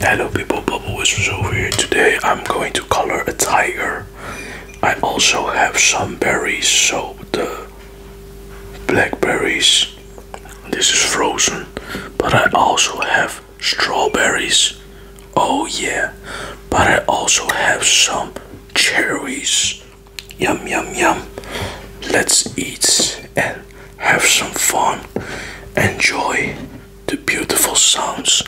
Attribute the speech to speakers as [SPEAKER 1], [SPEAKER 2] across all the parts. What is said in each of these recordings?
[SPEAKER 1] Hello people, Bubble Whispers over here. Today I'm going to color a tiger. I also have some berries, so the blackberries, this is frozen, but I also have strawberries, oh yeah, but I also have some cherries, yum yum yum. Let's eat and have some fun, enjoy the beautiful sounds.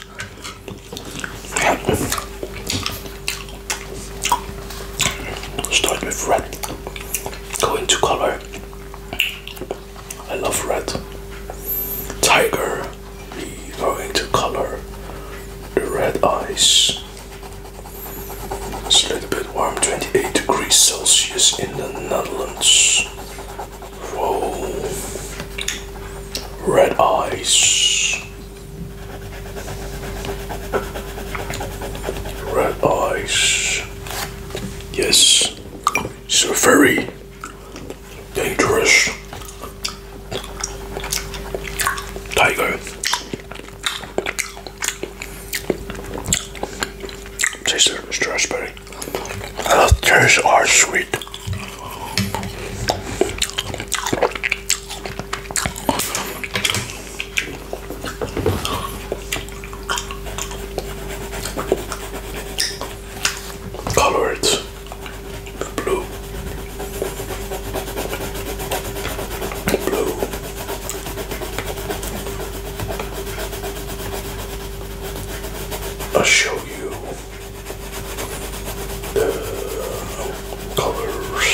[SPEAKER 1] Start with red, go into color. I love red. Tiger, Going to color. The red eyes. It's a little bit warm, 28 degrees Celsius in the Netherlands. Red eyes. Red eyes. Yes. So very dangerous tiger. Tastes of strawberry. Uh, are sweet. blue, blue, a show the colors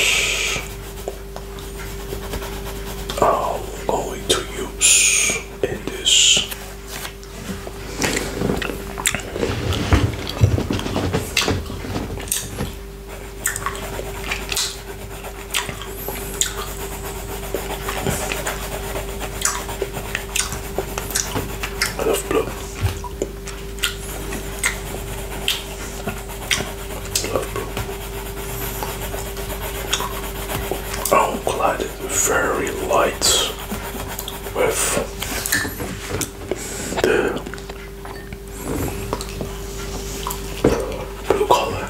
[SPEAKER 1] I'm going to use in this. I love blue. I love blue. Oh, very light with the blue color.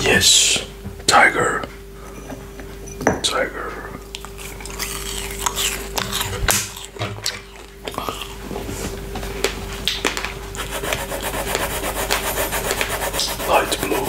[SPEAKER 1] Yes, tiger, tiger. Light blue.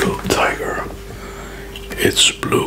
[SPEAKER 1] Blue tiger. It's blue.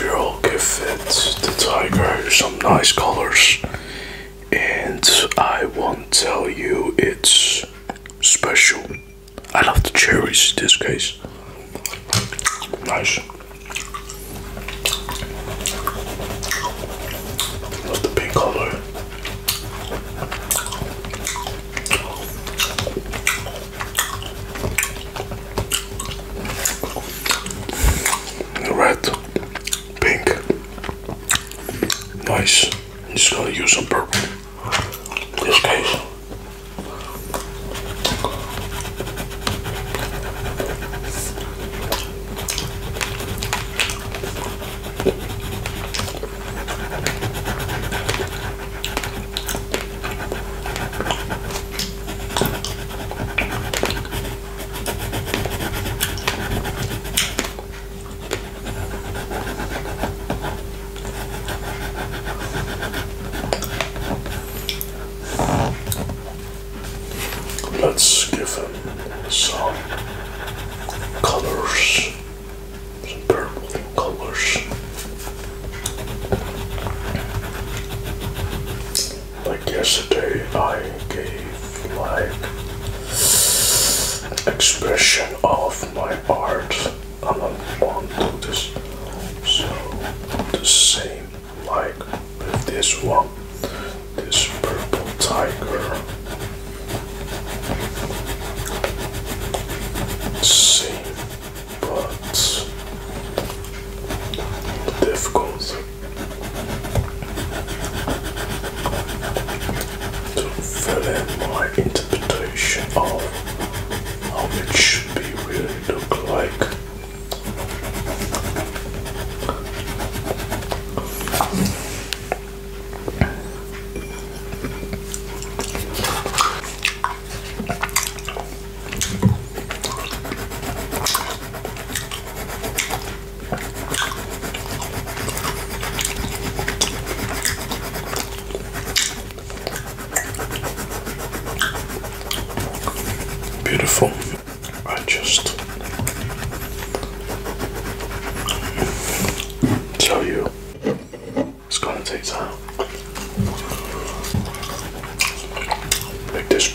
[SPEAKER 1] We'll give it the tiger some nice colors, and I won't tell you it's special. I love the cherries in this case. Nice. Love the pink color. Red, pink, nice. I'm just gonna use some purple in this case. Let's give him some colors, some purple colors. Like yesterday, I gave like expression of my art, and I want to do this. So the same like with this one, this purple tiger. Same but difficult to fill in my interpretation of how it should be really look like. Beautiful. I just tell you. It's gonna take time. Make this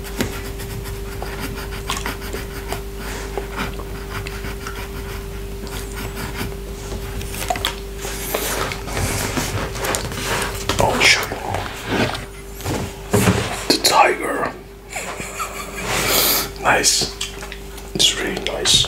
[SPEAKER 1] Ocean, the tiger. Nice. It's really nice.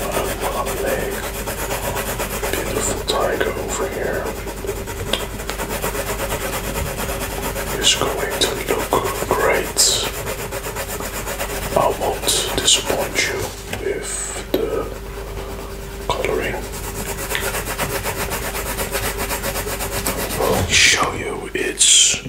[SPEAKER 1] Lovely. Beautiful tiger over here is going to look great. I won't disappoint you with the coloring. I'll show you its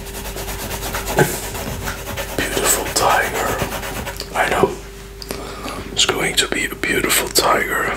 [SPEAKER 1] Beautiful tiger. I know it's going to be a beautiful tiger.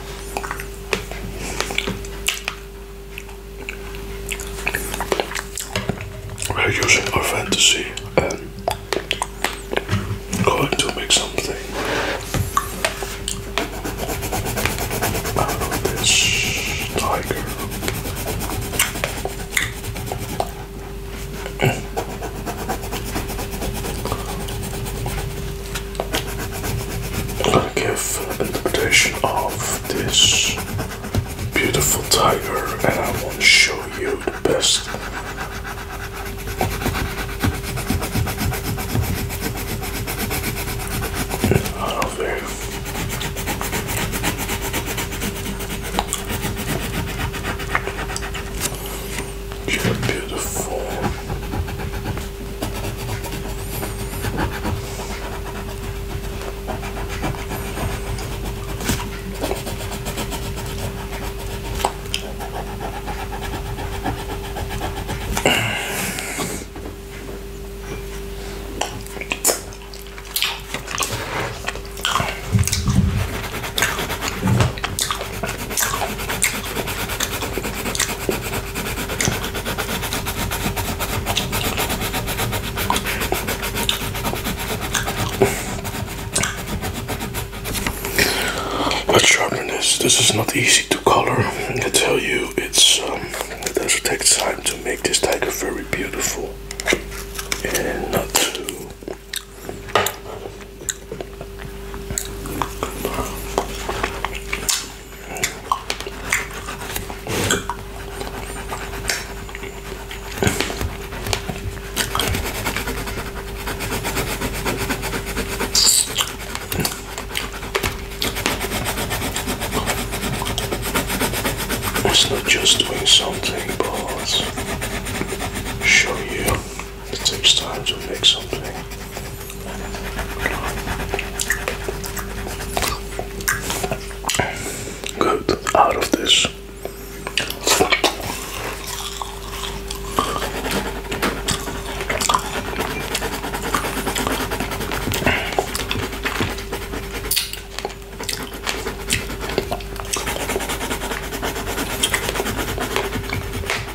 [SPEAKER 1] We're using our fantasy and um, going to make something this tiger. I'm gonna give an interpretation of this beautiful tiger and I want to show you the best out there. You're beautiful. Let's sharpen this. This is not easy to color. I tell you, it's um, it does take time to make this tiger very beautiful and not too it's not just doing something, but show you. It takes time to make something. Good out of this.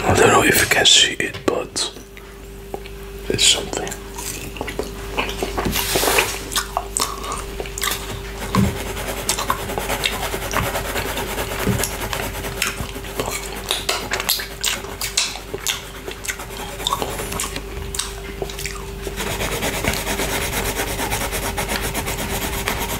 [SPEAKER 1] I don't know if you can see it, but it's something.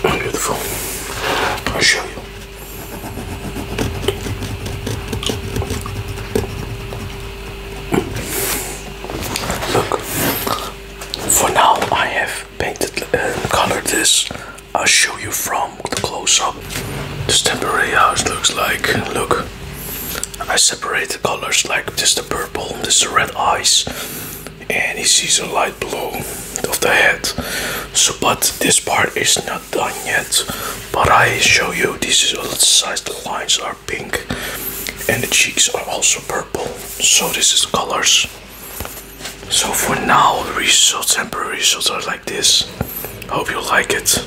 [SPEAKER 1] Beautiful. I'll show you. Look, for now I have painted uh, colored this. i show you from the close up. This temporary house looks like. Look, I separate the colors like this the purple, this the red eyes, and he sees a light blue of the head. So, but this part is not done yet. But I show you this is all the size the lines are pink and the cheeks are also purple. So this is colors. So for now the results temporary results are like this. Hope you like it.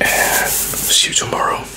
[SPEAKER 1] And see you tomorrow.